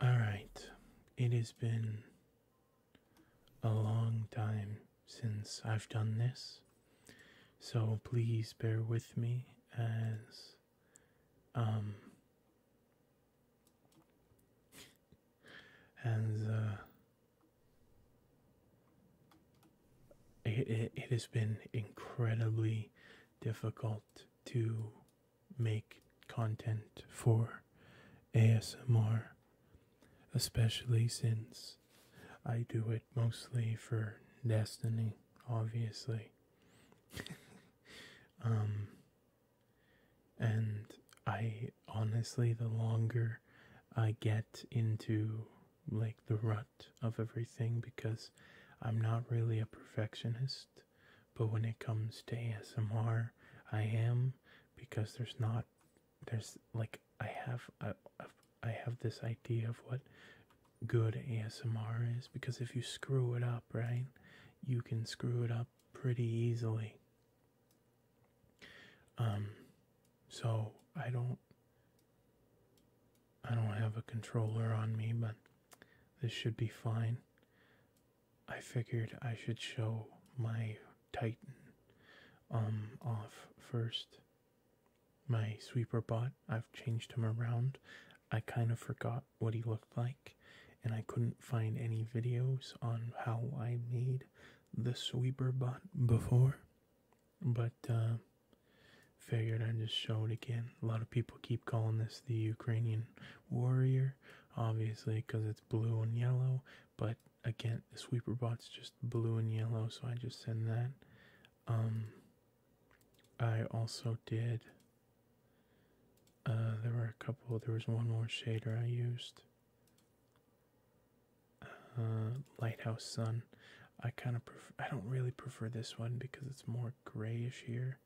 All right, it has been a long time since I've done this, so please bear with me as um as uh it, it, it has been incredibly difficult to make content for ASMR, especially since I do it mostly for Destiny, obviously. um, and I honestly, the longer I get into like the rut of everything because I'm not really a perfectionist. But when it comes to ASMR, I am because there's not there's like I have I, I have this idea of what good ASMR is because if you screw it up, right, you can screw it up pretty easily. Um so I don't I don't have a controller on me, but this should be fine. I figured I should show my Titan um off first. My sweeper bot, I've changed him around. I kind of forgot what he looked like, and I couldn't find any videos on how I made the sweeper bot before. But uh figured I'd just show it again. A lot of people keep calling this the Ukrainian warrior, obviously, because it's blue and yellow. But again, the sweeper bot's just blue and yellow, so I just send that. Um, I also did. Uh, there were a couple. There was one more shader I used. Uh, Lighthouse Sun. I kind of prefer. I don't really prefer this one because it's more grayish here,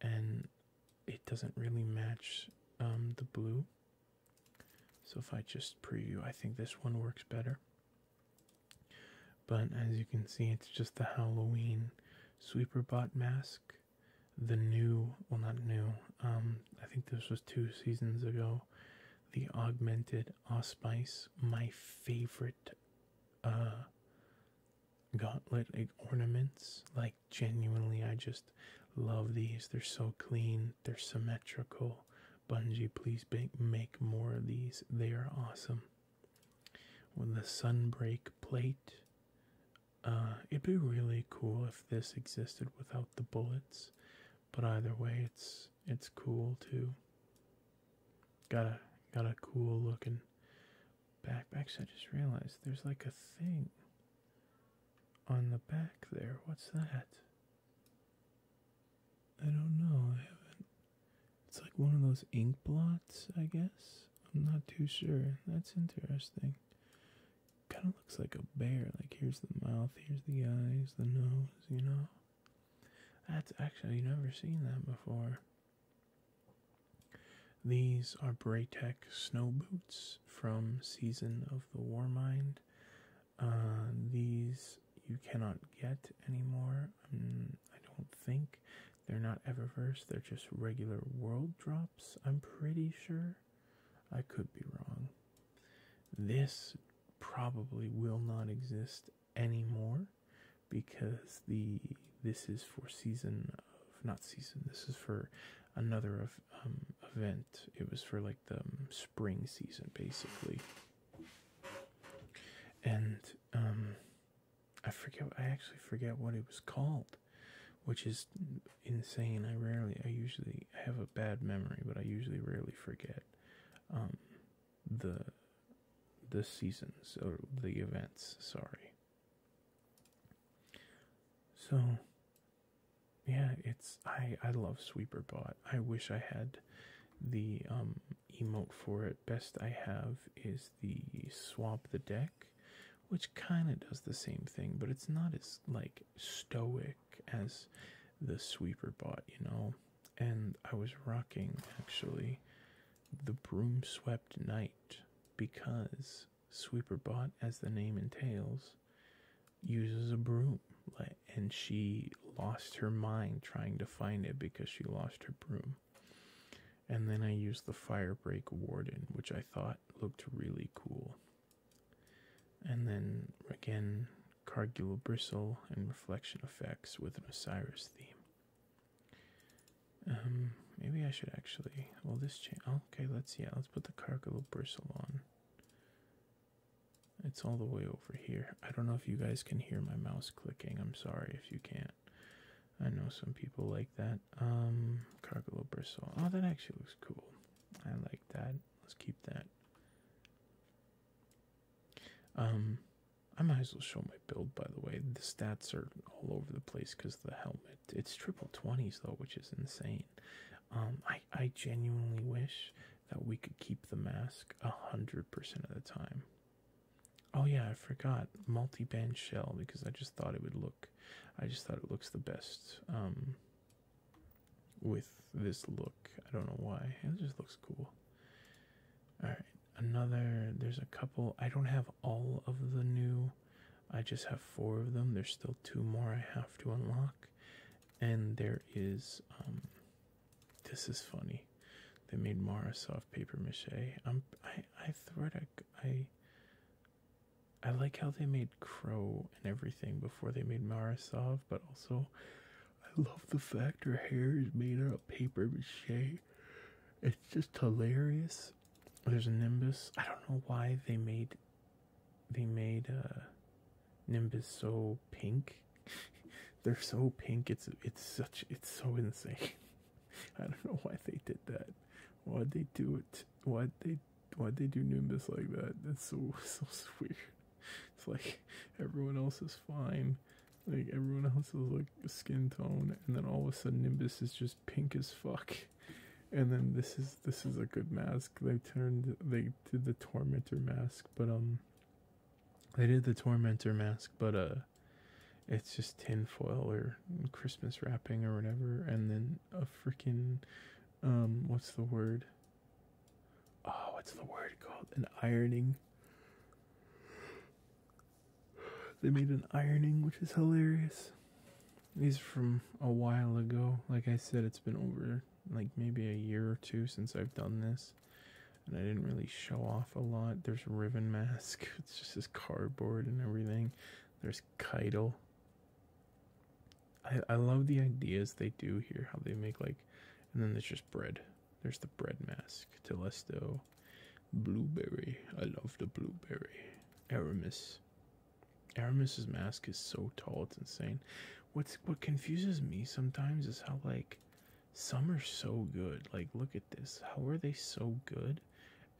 and it doesn't really match um, the blue. So if I just preview, I think this one works better. But as you can see, it's just the Halloween sweeper bot mask. The new, well, not new, um, I think this was two seasons ago. The augmented Auspice, my favorite uh, gauntlet ornaments. Like, genuinely, I just love these. They're so clean, they're symmetrical. Bungie, please make more of these. They are awesome. With the sunbreak plate, uh, it'd be really cool if this existed without the bullets. But either way, it's it's cool too. Got a got a cool looking Back, back. So I just realized there's like a thing on the back there. What's that? I don't know. I haven't. It's like one of those ink blots, I guess. I'm not too sure. That's interesting. Kind of looks like a bear. Like here's the mouth, here's the eyes, the nose, you know? That's actually never seen that before. These are Braytech snow boots from Season of the Warmind. Uh, these you cannot get anymore. Mm, I don't think they're not Eververse. They're just regular world drops. I'm pretty sure. I could be wrong. This probably will not exist anymore because the this is for season of not season this is for another of um, event it was for like the um, spring season basically and um i forget i actually forget what it was called which is insane i rarely i usually have a bad memory but i usually rarely forget um the the seasons or the events sorry so yeah, it's I I love Sweeper Bot. I wish I had the um emote for it. Best I have is the swap the deck, which kind of does the same thing, but it's not as like stoic as the Sweeper Bot, you know. And I was rocking actually the broom swept night because Sweeperbot, as the name entails, uses a broom and she lost her mind trying to find it because she lost her broom. And then I used the Firebreak Warden, which I thought looked really cool. And then again, Cargula Bristle and Reflection Effects with an Osiris theme. Um, maybe I should actually. Well, this chain. Oh, okay, let's yeah, let's put the cargo bristle on. It's all the way over here. I don't know if you guys can hear my mouse clicking. I'm sorry if you can't. I know some people like that. Um, cargo bristle. Oh, that actually looks cool. I like that. Let's keep that. Um, I might as well show my build, by the way. The stats are all over the place because the helmet. It's triple 20s, though, which is insane. Um, I, I genuinely wish that we could keep the mask 100% of the time. Oh, yeah, I forgot. Multi band shell because I just thought it would look. I just thought it looks the best um, with this look. I don't know why. It just looks cool. Alright, another there's a couple i don't have all of the new i just have four of them there's still two more i have to unlock and there is um this is funny they made mara soft paper mache i'm i i like how they made crow and everything before they made mara soft but also i love the fact her hair is made out of paper mache it's just hilarious. There's a Nimbus. I don't know why they made they made uh Nimbus so pink. They're so pink. It's it's such it's so insane. I don't know why they did that. Why'd they do it? Why'd they why'd they do Nimbus like that? That's so so weird. It's like everyone else is fine. Like everyone else is like skin tone, and then all of a sudden Nimbus is just pink as fuck. And then this is this is a good mask. They turned they did the tormentor mask, but um they did the tormentor mask, but uh it's just tinfoil or Christmas wrapping or whatever, and then a freaking um what's the word? Oh, what's the word called? An ironing. They made an ironing, which is hilarious. These from a while ago. Like I said, it's been over like maybe a year or two since I've done this. And I didn't really show off a lot. There's Riven Mask. It's just this cardboard and everything. There's Keitel. I, I love the ideas they do here, how they make like and then there's just bread. There's the bread mask, Telesto, Blueberry. I love the blueberry. Aramis. Aramis's mask is so tall, it's insane. What's what confuses me sometimes is how like some are so good. Like look at this. How are they so good?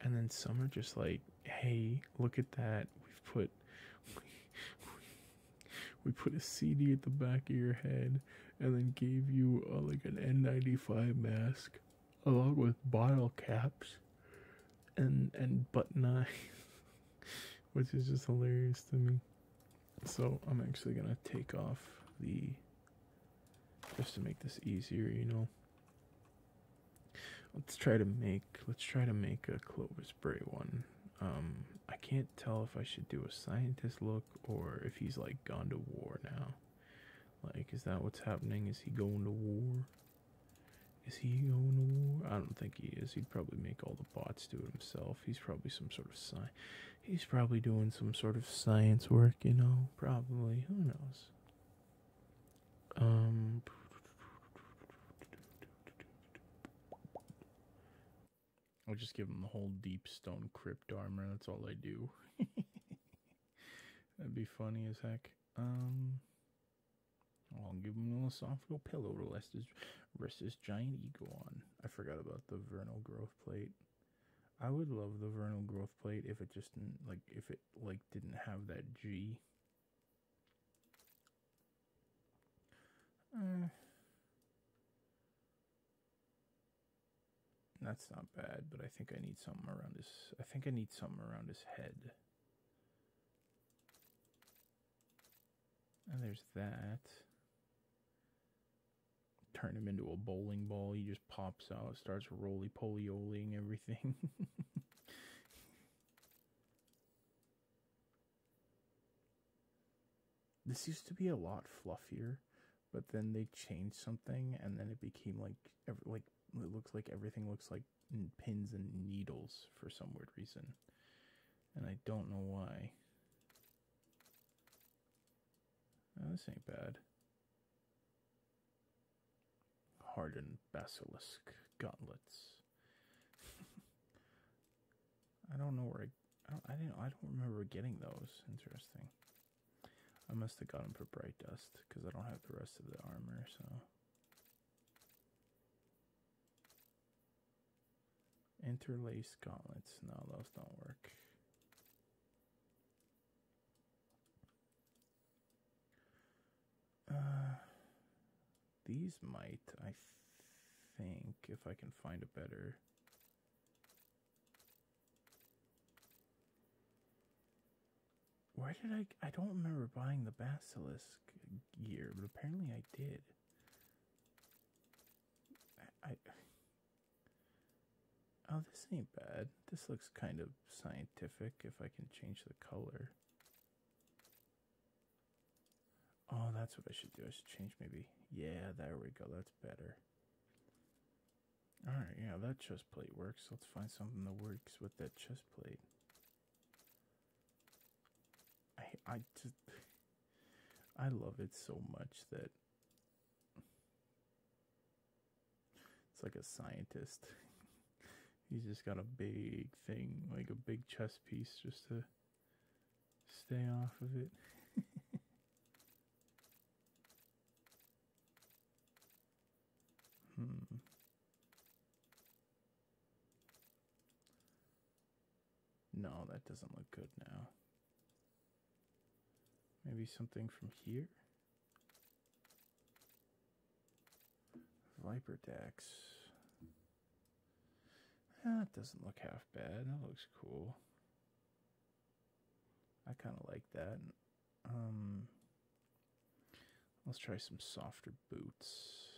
And then some are just like, hey, look at that. We've put we, put a CD at the back of your head and then gave you uh, like an N95 mask along with bottle caps and and button eye, which is just hilarious to me. So I'm actually gonna take off the just to make this easier, you know. Let's try to make let's try to make a Clovis Bray one. Um, I can't tell if I should do a scientist look or if he's like gone to war now. Like, is that what's happening? Is he going to war? Is he going to war? I don't think he is. He'd probably make all the bots do it himself. He's probably some sort of sci. He's probably doing some sort of science work, you know? Probably. Who knows? Um. I'll just give him the whole deep stone crypt armor. That's all I do. That'd be funny as heck. Um, I'll give him an esophageal pillow to rest his, rest his giant ego on. I forgot about the vernal growth plate. I would love the vernal growth plate if it just didn't, like if it like didn't have that G. Eh. That's not bad, but I think I need something around his. I think I need something around his head. And there's that. Turn him into a bowling ball. He just pops out, starts roly poly oling everything. this used to be a lot fluffier but then they changed something and then it became like like it looks like everything looks like pins and needles for some weird reason and I don't know why. Oh, this ain't bad. Hardened basilisk gauntlets. I don't know where I, I didn't I don't remember getting those. Interesting. I must have got them for bright dust because I don't have the rest of the armor, so. interlace gauntlets. No, those don't work. Uh, these might, I think, if I can find a better where did I? I don't remember buying the basilisk gear, but apparently I did. I oh, this ain't bad. This looks kind of scientific. If I can change the color. Oh, that's what I should do. I should change maybe. Yeah, there we go. That's better. Alright, yeah, that chest plate works. Let's find something that works with that chest plate. I I just I love it so much that it's like a scientist. He's just got a big thing, like a big chess piece just to stay off of it. Hmm. No, that doesn't look good now. Maybe something from here? Viper Dax. That doesn't look half bad. That looks cool. I kind of like that. Um, let's try some softer boots.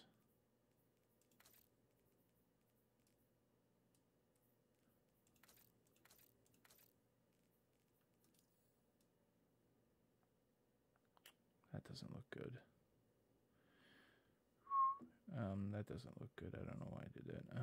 That doesn't look good. Um, that doesn't look good. I don't know why I did that.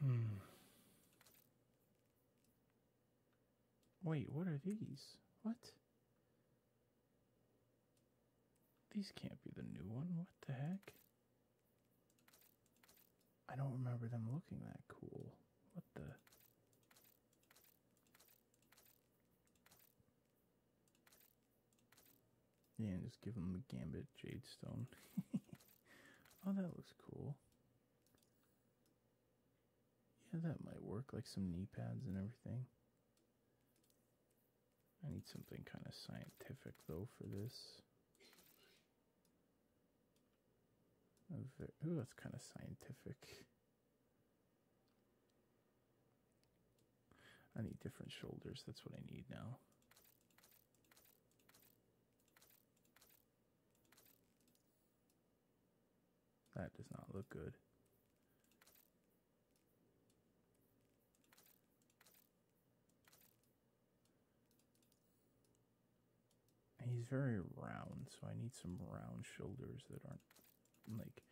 Hmm. Wait, what are these? What? These can't be the new one. What the heck? I don't remember them looking that cool. What the? Yeah, just give him the gambit jade stone. oh, that looks cool. Yeah, that might work. Like some knee pads and everything. I need something kind of scientific though for this. Oh, that's kind of scientific. I need different shoulders. That's what I need now. That does not look good. He's very round, so I need some round shoulders that aren't like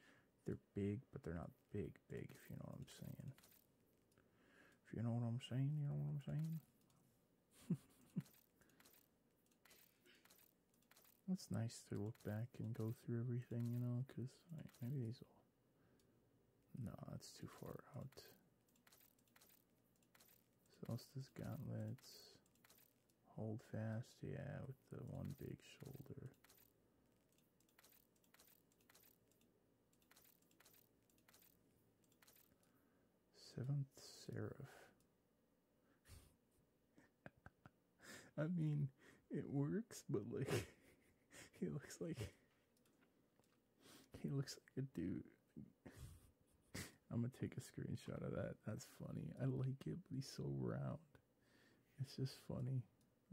they're big, but they're not big, big, if you know what I'm saying. If you know what I'm saying, you know what I'm saying? It's nice to look back and go through everything, you know, because maybe these will. No, it's too far out. Solstice gauntlets. Hold fast, yeah, with the one big shoulder. Seventh serif. I mean, it works, but like, he looks like he looks like a dude. I'm gonna take a screenshot of that. That's funny. I like it, but he's so round. It's just funny.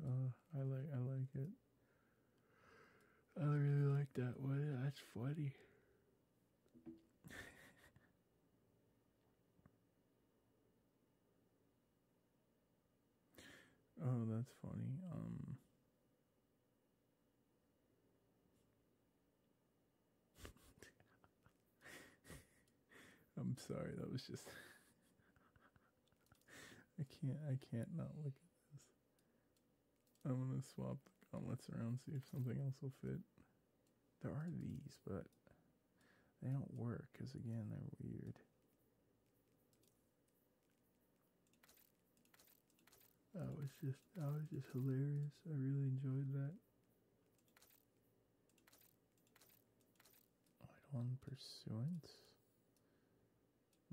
Uh, I like I like it. I really like that one. That's funny. oh, that's funny. Um I'm sorry, that was just I can't I can't not look at this. I'm gonna swap the gauntlets around, see if something else will fit. There are these, but they don't work, because again, they're weird. That was just, that was just hilarious. I really enjoyed that. I Right on pursuance.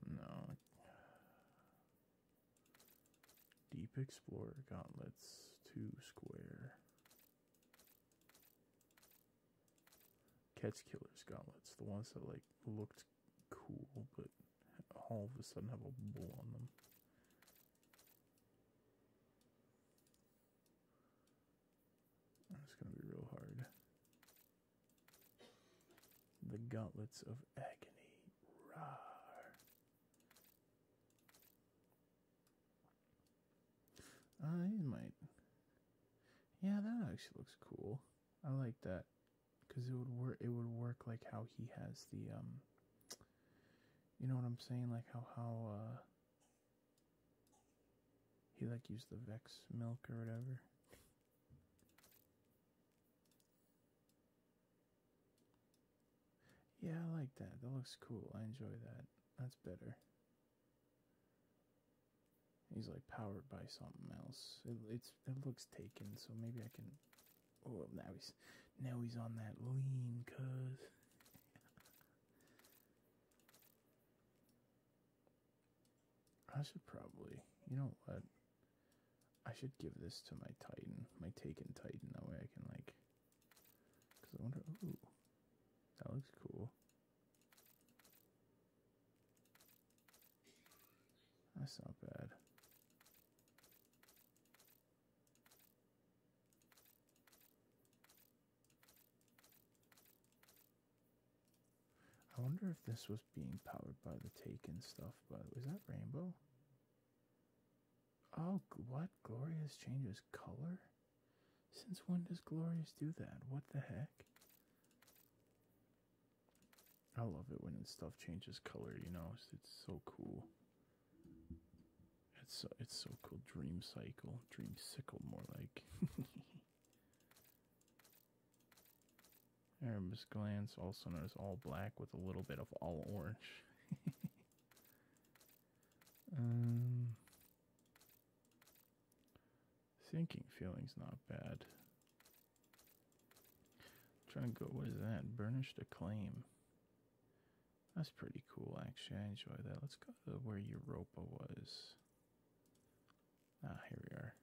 No. Deep Explorer Gauntlets, two square. Catch killer Gauntlets, the ones that like looked cool but all of a sudden have a bull on them. That's gonna be real hard. The gauntlets of agony. Rar. I oh, might. Yeah, that actually looks cool. I like that because it would work. It would work like how he has the um. You know what I'm saying? Like how how uh. He like used the Vex milk or whatever. Yeah, I like that. That looks cool. I enjoy that. That's better. He's like powered by something else. It, it's it looks taken, so maybe I can. Oh, now he's now he's on that lean, cuz. I should probably, you know what? I should give this to my Titan, my Taken Titan. That way I can, like, because I wonder, ooh, that looks cool. That's not bad. I wonder if this was being powered by the Taken stuff, but was that Rainbow? Oh, what? Glorious changes color? Since when does Glorious do that? What the heck? I love it when stuff changes color, you know, it's, it's so cool. It's so, it's so cool. Dream cycle, dream sickle, more like. Erebus glance, also known as all black with a little bit of all orange. um, sinking feeling's not bad. trying to go, what is that? Burnished acclaim. That's pretty cool, actually. I enjoy that. Let's go to where Europa was. Ah, here we are.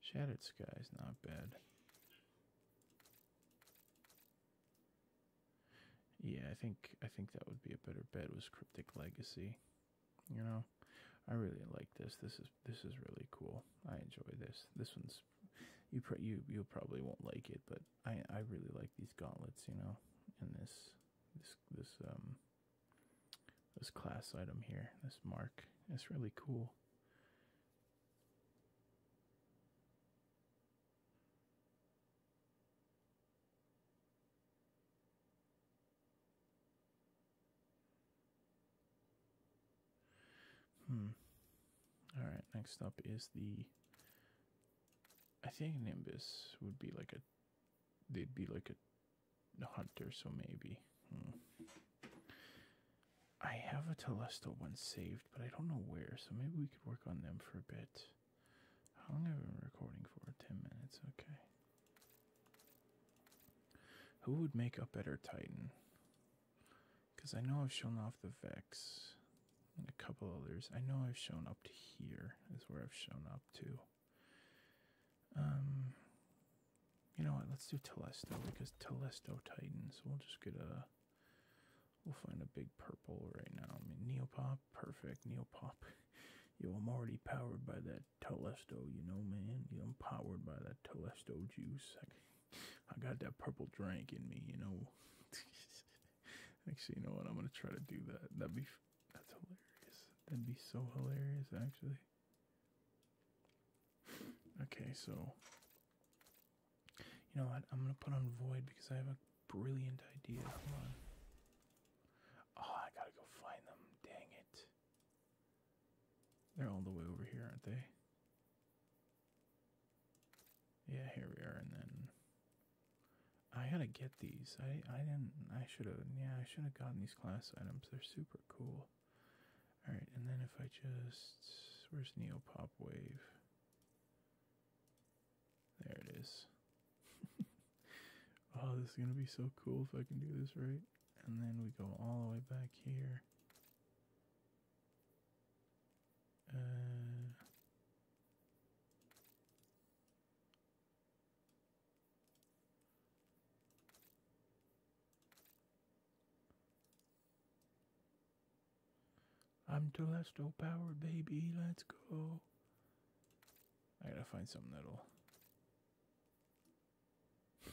Shattered skies, not bad. Yeah, I think I think that would be a better bed was Cryptic Legacy. You know, I really like this. This is this is really cool. I enjoy this. This one's you you you probably won't like it, but I I really like these gauntlets. You know, and this this this um this class item here, this mark. It's really cool. Hmm. All right, next up is the I think Nimbus would be like a they'd be like a the hunter, so maybe. Hmm. I have a Telesto one saved, but I don't know where, so maybe we could work on them for a bit. How long have I been recording for? 10 minutes, okay. Who would make a better Titan? Because I know I've shown off the Vex and a couple others. I know I've shown up to here, is where I've shown up to. Um, you know what? Let's do Telesto because Telesto Titans. We'll just get a. We'll find a big purple right now. I mean, Neopop, perfect. Neopop. Yo, I'm already powered by that Telesto, you know, man. Yo, I'm powered by that Telesto juice. I, got that purple drink in me, you know. Actually, you know what? I'm gonna try to do that. That'd be that's hilarious. That'd be so hilarious, actually. Okay, so. You know what? I'm gonna put on void because I have a brilliant idea. Oh, I gotta go find them. Dang it. They're all the way over here, aren't they? Yeah, here we are, and then I gotta get these. I I didn't. I should have. Yeah, I should have gotten these class items. They're super cool. All right, and then if I just where's Neopop Wave? There it is. oh, this is gonna be so cool if I can do this right. And then we go all the way back here. Uh, I'm Telesto powered, baby. Let's go. I gotta find something that'll.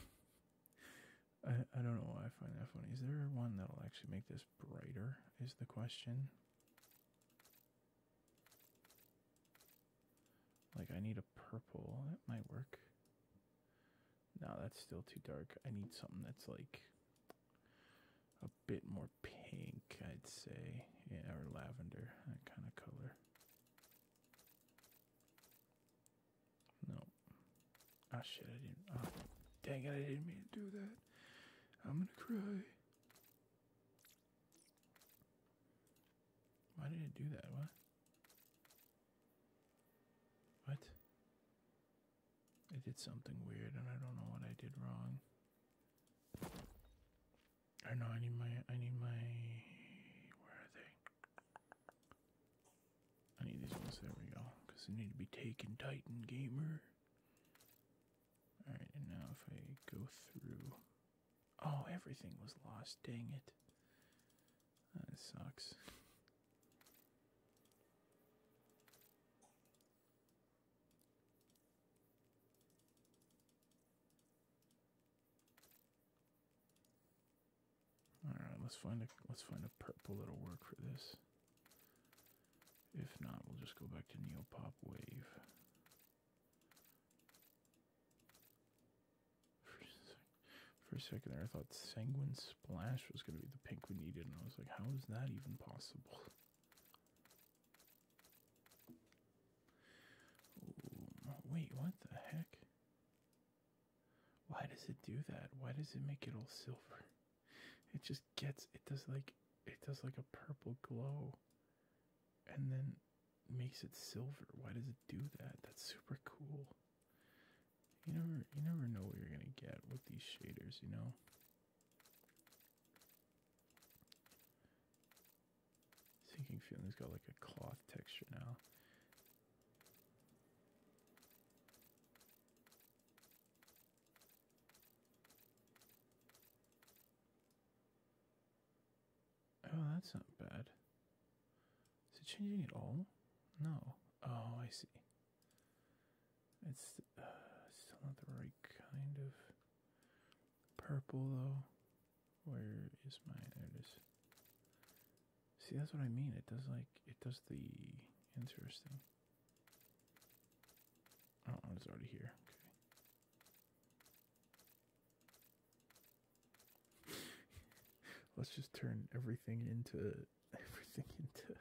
I, I don't know why I find that funny. Is there one that'll actually make this brighter? Is the question. Like, I need a purple. That might work. No, that's still too dark. I need something that's like a bit more pink, I'd say. or lavender, that kind of color. No. oh, ah, shit, I didn't. Oh, dang it, I didn't mean to do that. I'm gonna cry. Why did it do that? What? What? I did something weird and I don't know what I did wrong. I know I need my I need my where are they? I need these ones, there we go. Because they need to be taken Titan Gamer. Alright, and now if I go through Oh, everything was lost. Dang it. That sucks. All right, let's find a let's find a purple that'll work for this. If not, we'll just go back to Neopop Wave. For a second there, I thought Sanguine Splash was going to be the pink we needed, and I was like, how is that even possible? wait, what the heck? Why does it do that? Why does it make it all silver? It just gets, it does like, it does like a purple glow and then makes it silver. Why does it do that? That's super cool. You never you never know what you're gonna get with these shaders, you know. Sinking feeling's got like a cloth texture now. Oh, that's not bad. Is it changing at all? No. Oh, I see. It's uh, still not the right kind of purple, though. Where is my. There See, that's what I mean. It does, like, it does the interesting. Oh, it's already here. Let's just turn everything into everything into.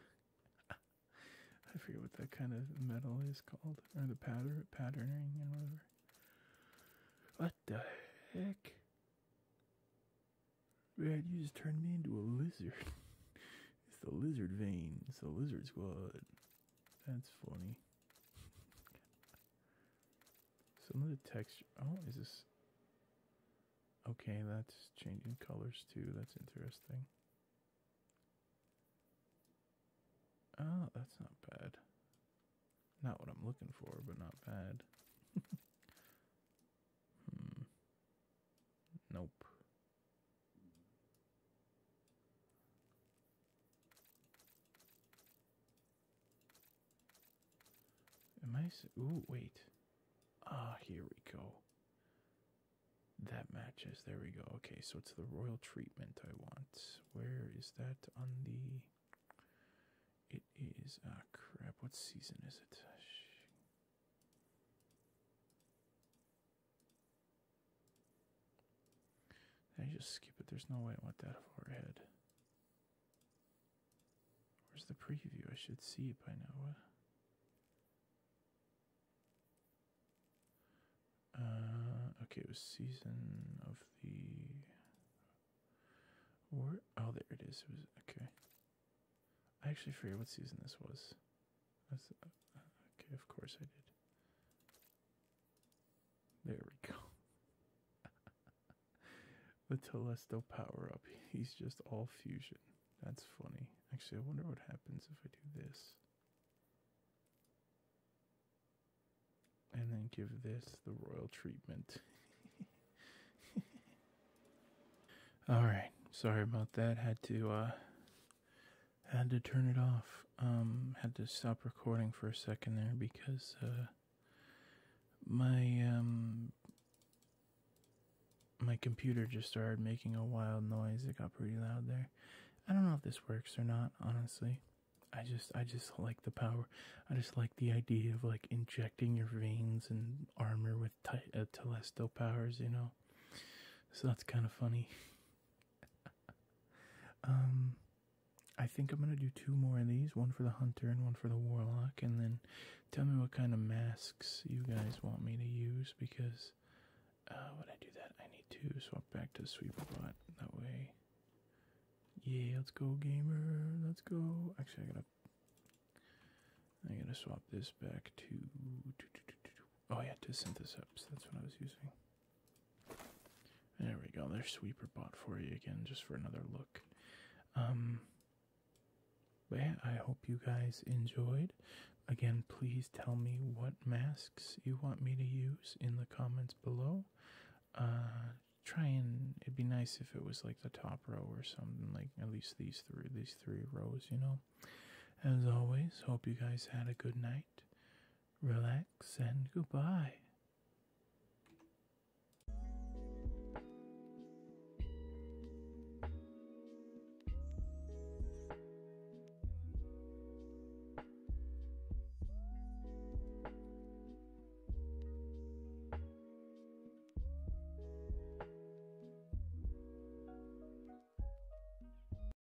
I forget what that kind of metal is called, or the pattern patterning or whatever. What the heck? Man, you just turned me into a lizard. it's the lizard vein. It's the lizard squad. That's funny. Some of the texture. Oh, is this? Okay, that's changing colors too. That's interesting. Oh, that's not bad. Not what I'm looking for, but not bad. Hmm. Nope. Am I? Ooh, wait. Ah, here we go. That matches. There we go. Okay, so it's the royal treatment I want. Where is that on the? It is. Ah, crap. What season is it? I just skip it. There's no way I went that far ahead. Where's the preview? I should see it by now. Uh, okay, it was season of the. Or oh, there it is. It okay. I actually forget what season this was. Uh, okay, of course I did. There we go. the Telesto power up. He's just all fusion. That's funny. Actually, I wonder what happens if I do this. And then give this the royal treatment. Alright, sorry about that. Had to uh had to turn it off. Um, had to stop recording for a second there because uh, my um, my computer just started making a wild noise. It got pretty loud there. I don't know if this works or not. Honestly, I just I just like the power. I just like the idea of like injecting your veins and armor with t- uh, telesto powers. You know, so that's kind of funny. um, I think I'm gonna do two more of these, one for the hunter and one for the warlock, and then tell me what kind of masks you guys want me to use because uh, when I do that, I need to swap back to Sweeperbot that way. Yeah, let's go, gamer. Let's go. Actually, I am going to I am going to swap this back to. Oh yeah, to Syntheseps. That's what I was using. There we go. There's sweeper bot for you again, just for another look. Um, but yeah, I hope you guys enjoyed. Again, please tell me what masks you want me to use in the comments below. Uh, try and it'd be nice if it was like the top row or something, like at least these three, these three rows, you know. As always, hope you guys had a good night relax, and goodbye.